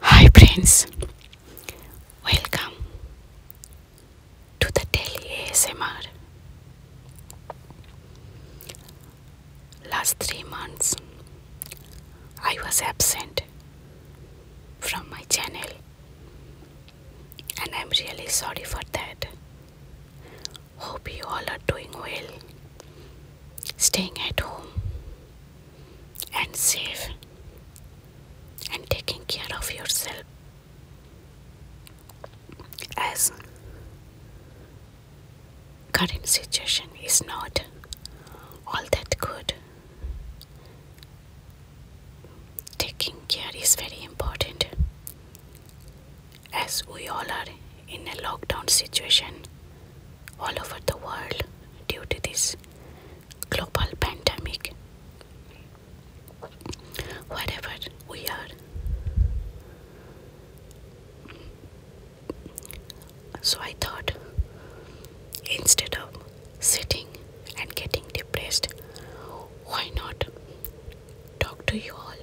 Hi friends, welcome to the Daily ASMR. Last three months, I was absent from my channel, and I'm really sorry for that. Hope you all are doing well, staying at home, and safe and taking care of yourself as current situation is not all that good taking care is very important as we all are in a lockdown situation all over the world due to this global pandemic. Wherever we are. So I thought instead of sitting and getting depressed, why not talk to you all?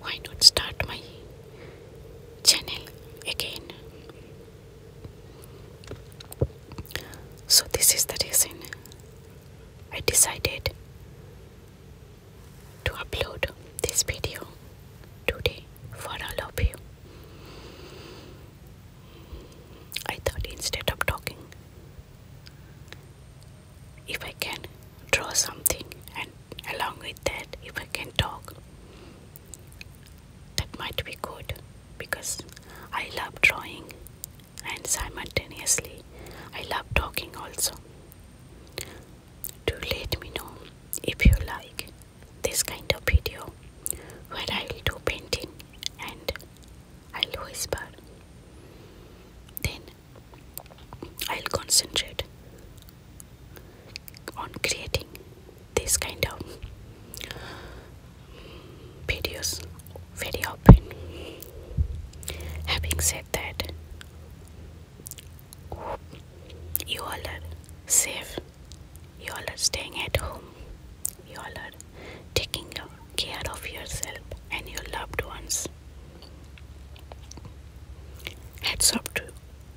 Why not start my channel again? So, this is the reason I decided to upload this video today for all of you. I thought instead of talking, if I can draw something, and along with that, if I can talk, that might be good because I love drawing and simultaneously I love talking also. To let me know if you like this kind of video where I will do painting and I'll whisper. Then I'll concentrate on creating this kind of videos very often. Having said that, you all are safe, you all are staying at home, you all are taking care of yourself and your loved ones. Hats off to you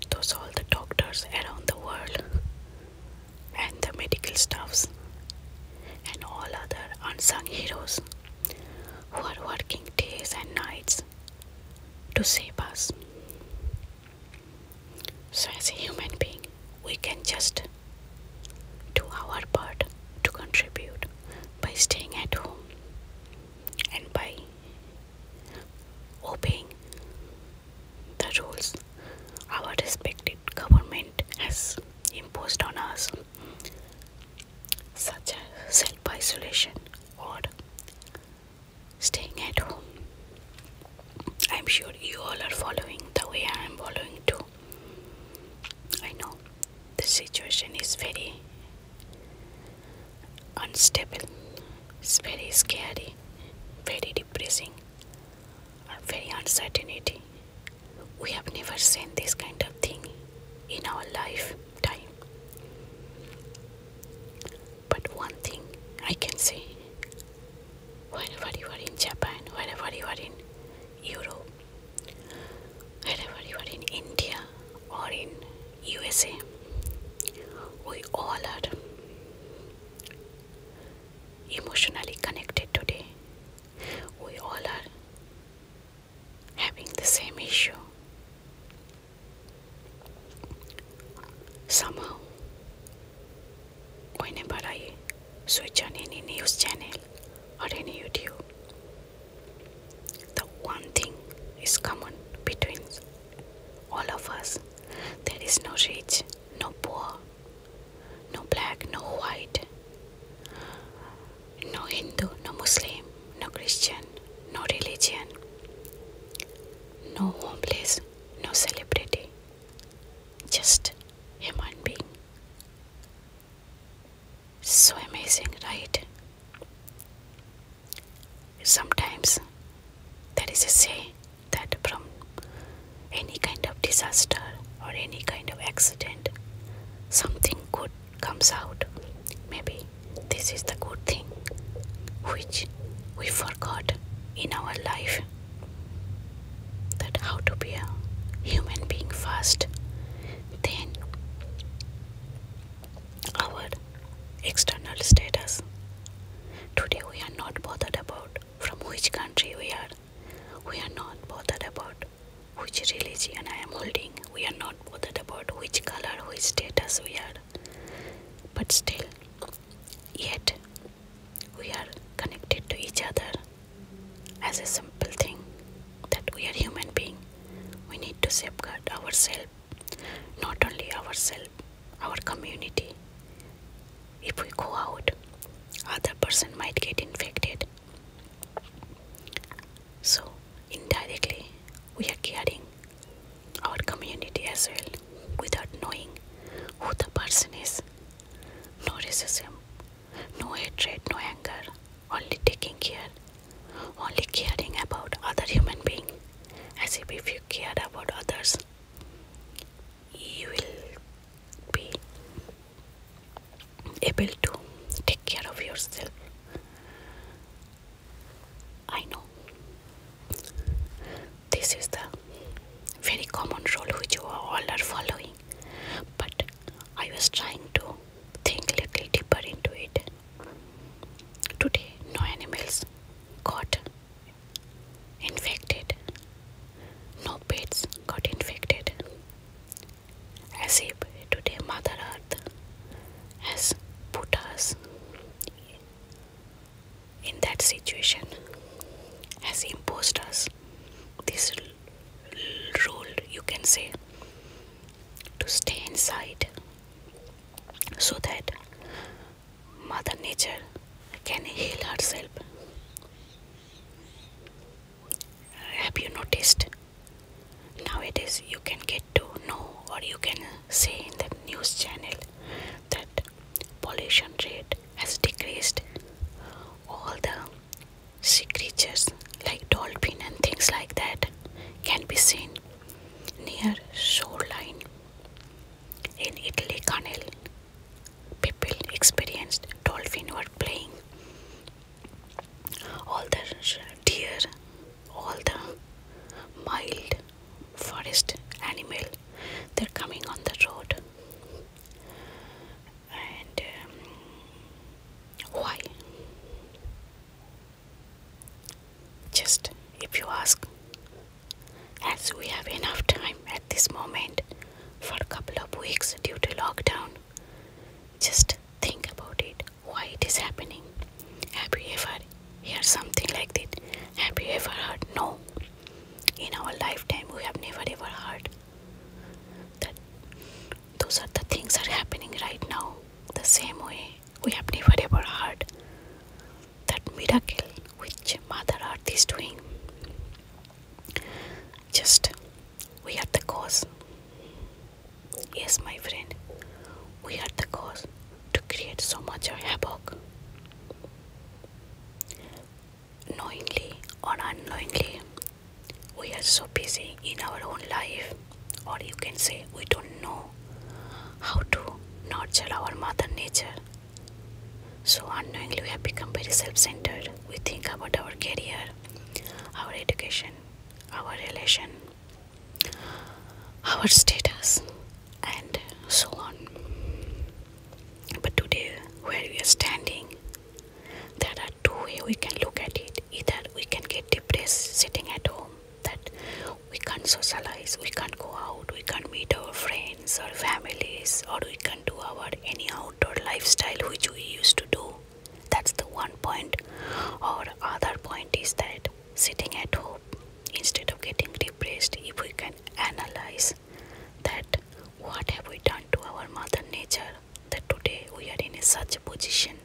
those all the doctors around the world and the medical staffs and all other unsung heroes who are working days and nights to save us. So, as a human being, we can just do our part to contribute by staying at home and by hoping the rules our respected government has imposed on us, such as self isolation or staying at home. I'm sure you all are following the way I am following too. I know the situation is very unstable it's very scary, very depressing, very uncertainty. We have never seen this kind of thing in our lifetime. But one thing I can say wherever you are in Japan, wherever you are in Europe, wherever you are in India or in USA, we all are emotionally connected today. We all are having the same issue. Somehow, whenever I switch on any news channel or any YouTube, the one thing is common between all of us. There is no rich, no poor, no black, no white, no Hindu, no Muslim, no Christian, no religion, no homeless, no celebrity, just human being. So amazing, right? Sometimes there is a say that from any kind of disaster or any kind of accident something good comes out maybe this is the good thing which we forgot in our life that how to be a human being first then our External status. Today we are not bothered about from which country we are. We are not bothered about which religion I am holding. We are not bothered about which color, which status we are. But still, yet we are connected to each other as a simple thing that we are human being. We need to safeguard ourselves, not only ourselves our community. If we go out, other person might get infected. So indirectly, we are caring our community as well without knowing who the person is. No racism, no hatred, no anger, only taking care, only caring about other human being as if, if you care about others you will be able to take care of yourself. I know this is the very common rule which all are following, but I was trying to think a little deeper into it. Today, no animals got infected. No pets got infected. As if today Mother Earth has put us in that situation, has imposed us this rule, you can say, to stay inside so that Mother Nature can heal herself. Have you noticed? Nowadays, you can get to know or you can see in the news channel that pollution rate has decreased. All the sea creatures like dolphin and things like that can be seen near shoreline in Italy, Canel people experienced dolphins were playing. All the deer, all the mild forest animal, they're coming on the road. And um, why? Just if you ask, as we have enough time at this moment for a couple of weeks due to lockdown, just think about it why it is happening. Have you ever heard something like this? Have you ever heard? No. In our lifetime, we have never ever heard that those are the things are happening right now the same way we have never ever heard that miracle which Mother Earth is doing. Just we are the cause. Yes, my friend, we are the cause to create so much havoc. Knowingly or unknowingly, we are so busy in our own life, or you can say we don't know how to nurture our mother nature so unknowingly, we have become very self centered. We think about our career, our education, our relation, our status, and so on. But today, where we are standing, there are two ways we can look at it. Either we can get depressed sitting at home, that we can't socialize, we can't go out, we can't meet our friends or families, or we can't do our any outdoor lifestyle which we used to do. That's the one point. Our other point is that sitting at home instead of getting depressed, if we can analyze that what have we done to our mother nature that today we are in such a position,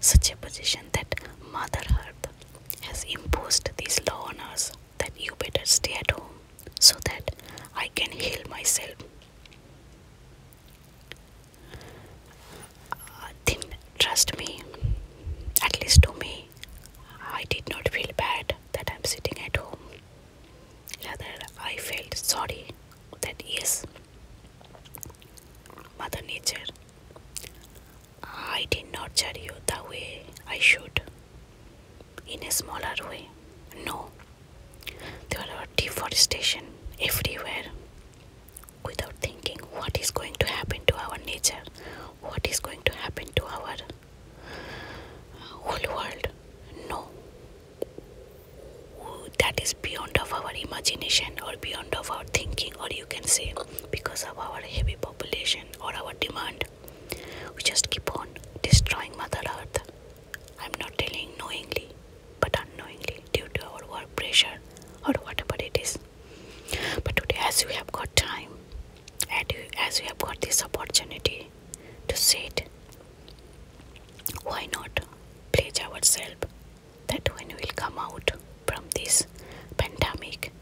such a position that Mother Earth has imposed these law on us that you better stay at home so that I can heal myself. Uh, then trust me, at least to me, I did not feel bad that I'm sitting at home. Rather, I felt sorry that yes, Mother Nature I did not nurture you the way I should. In a smaller way. No. There are deforestation everywhere. Without thinking what is going to happen to our nature, what is going to happen to our uh, whole world. No. That is beyond of our imagination or beyond of our thinking or you can say because of our heavy population or our demand we just keep on destroying Mother Earth. I'm not telling knowingly, but unknowingly due to our work pressure or whatever it is. But today, as we have got time, as we have got this opportunity to sit, why not pledge ourselves that when we will come out from this pandemic,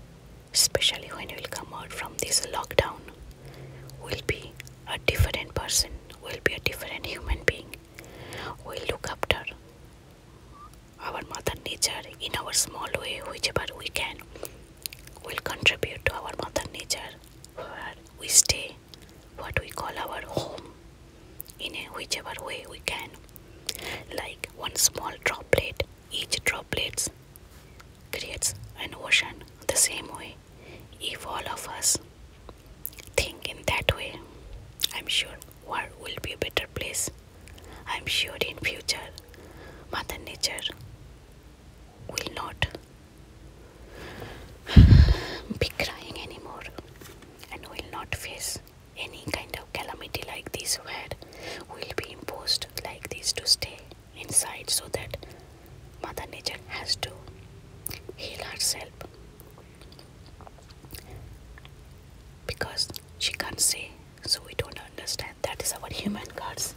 especially when we'll come out from this lockdown, we'll be a different person, we'll be a different human being. We'll look after our mother nature in our small way, whichever we can. We'll contribute to our mother nature where we stay, what we call our home, in whichever way we can. Like one small droplet each droplet creates an ocean the same way. If all of us think in that way, I'm sure war will be a better place. I'm sure in future, Mother Nature will not be crying anymore and will not face any kind of calamity like this where we'll be imposed like this to stay inside so that Mother Nature has to heal herself because she can't see, so we don't understand. That is our human gods.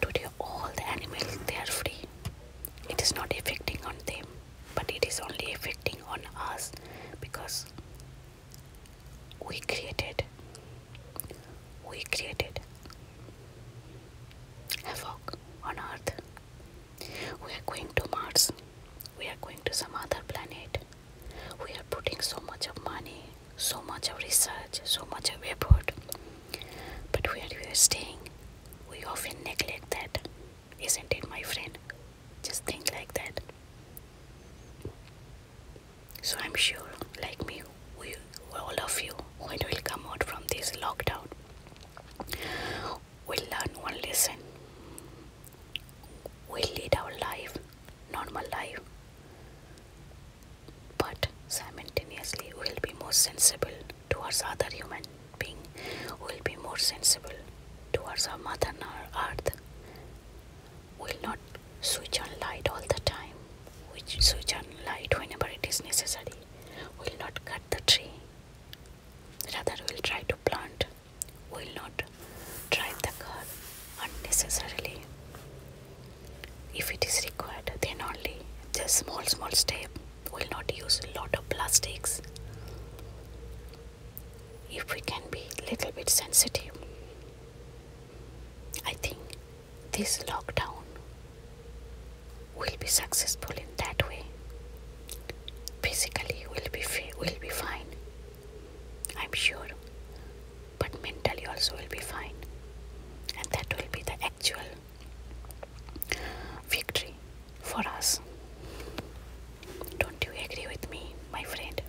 Today, all the animals they are free. It is not affecting on them, but it is only affecting on us because we created we created havoc on earth we are going to mars we are going to some other planet we are putting so much of money so much of research so much of effort but where we are staying we often neglect that isn't it my friend just think like that so I'm sure, like me, we, all of you, when we will come out from this lockdown, we'll learn one lesson. We'll lead our life, normal life, but simultaneously we'll be more sensible towards other human being. We'll be more sensible towards our mother earth will not switch on light all the time which switch on light whenever it is necessary will not cut the tree rather will try to plant will not try the cut unnecessarily if it is required then only the small small step will not use a lot of plastics if we can be little bit sensitive i think this lockdown will be successful in that way. Physically, will be will be fine. I'm sure, but mentally also will be fine, and that will be the actual victory for us. Don't you agree with me, my friend?